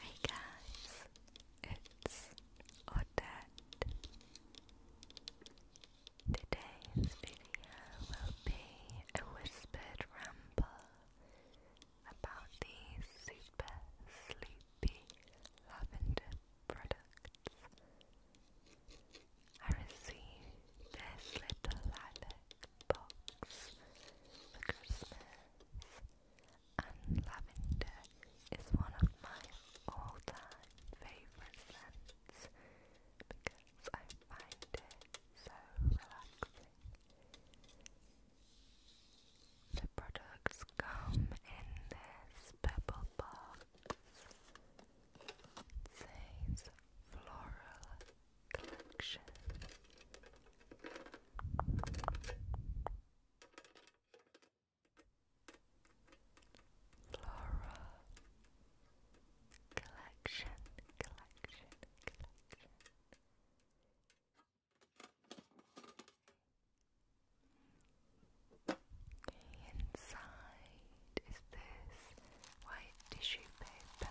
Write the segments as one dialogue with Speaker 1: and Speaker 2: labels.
Speaker 1: Hey guys, it's or dead. Today's video will be a whispered ramble about the super sleepy lavender products. I received this little lilac box for Christmas and lavender is one of my all-time favourite scents because I find it so relaxing. The products come in this purple box. It says floral collection. Laura collection, collection. Inside is this white tissue paper.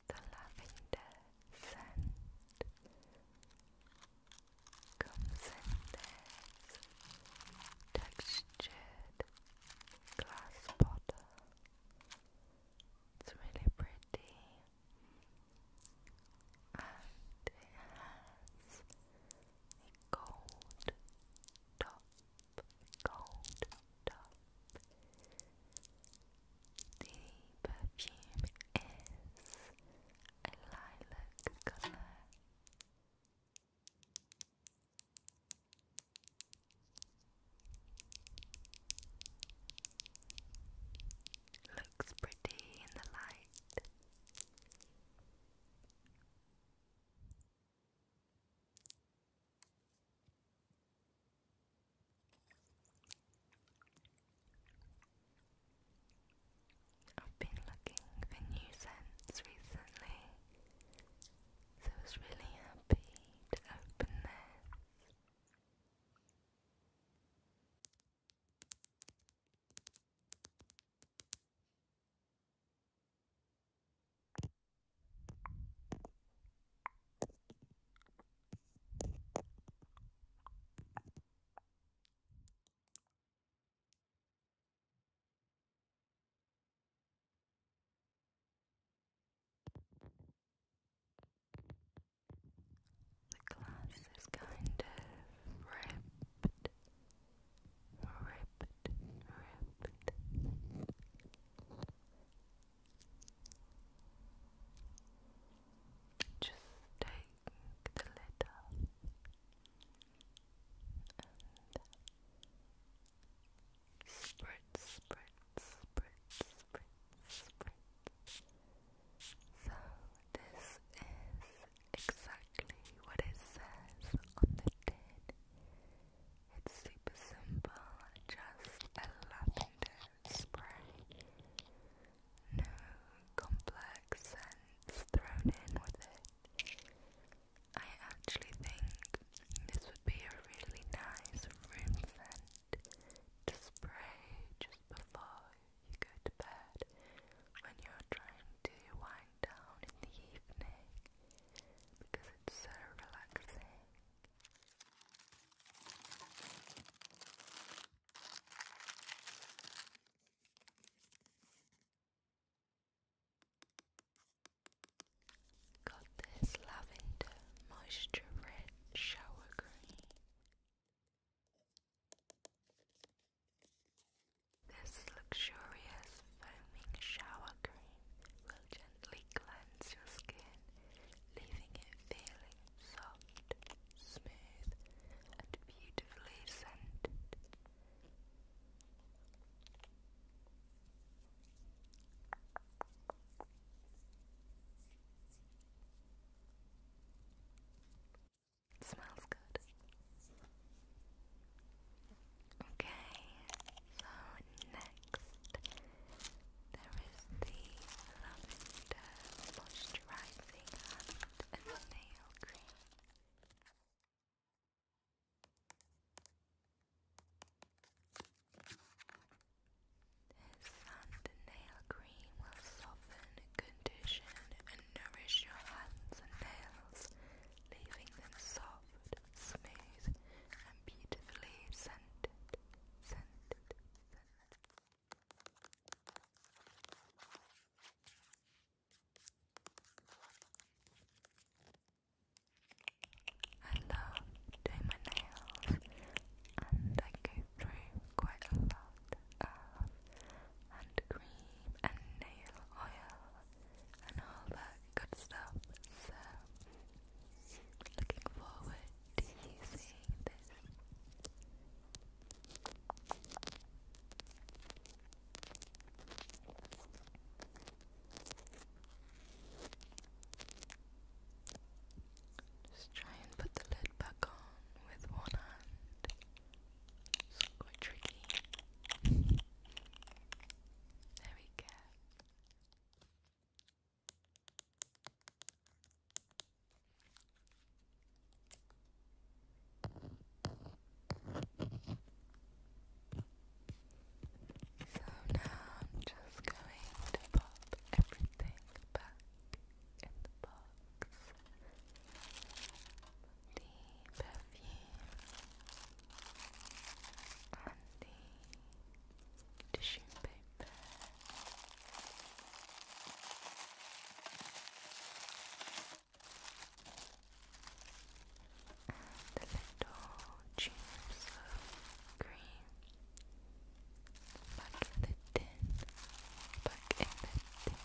Speaker 1: the lavender scent comes in this textured glass bottle. It's really pretty and it has a gold top, gold top. The perfume is a lilac colour. Looks pretty in the light. I've been looking for new scents recently, so I was really happy to open this. The glass is kind of ripped, ripped, ripped. Just take the lid and spread, spread, spread, spread, spread. So this is exactly what it says on the tin. It's super simple, just a lavender spray. No complex scents thrown in with it. I actually think this would be a really nice room scent to spray just before you go to bed when you're trying to wind down in the evening because it's so relaxing. Got this lavender moisture red shower cream. This luxurious foaming shower cream will gently cleanse your skin, leaving it feeling soft, smooth, and beautifully scented. smells good. Okay, so next there is the Lavender Moisturising Hand and Nail Cream. This hand and nail cream will soften, condition and nourish your hands and nails, leaving them soft, smooth, and beautifully scented.
Speaker 2: I love doing my nails and I go through quite a lot of hand cream and nail oil and all that good stuff so Looking forward to you seeing this. Just try and put the lid back on with one hand. It's quite tricky. There we go.
Speaker 3: So now I'm just going to pop everything back in the box. The perfume, and the tissue paper. the little tubes of green back the tin, back in the tin.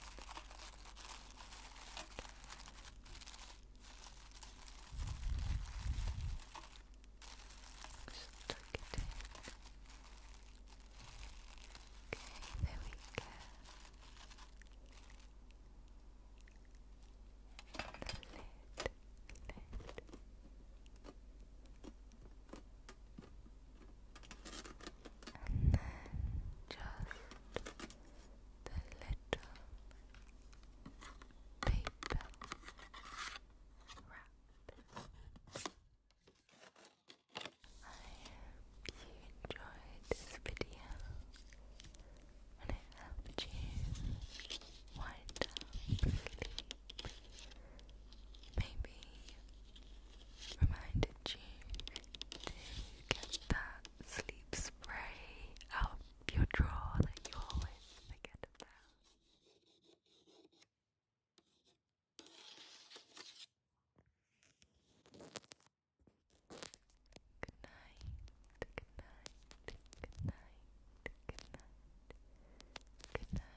Speaker 3: Just tuck it Okay, there we go.
Speaker 4: The lid, lid. And then just the little paper you enjoyed this video and it helped you wind down Maybe reminded you to get that sleep spray out of your drawer that you always forget about. Good night, good night, good night, good night, good night, good night.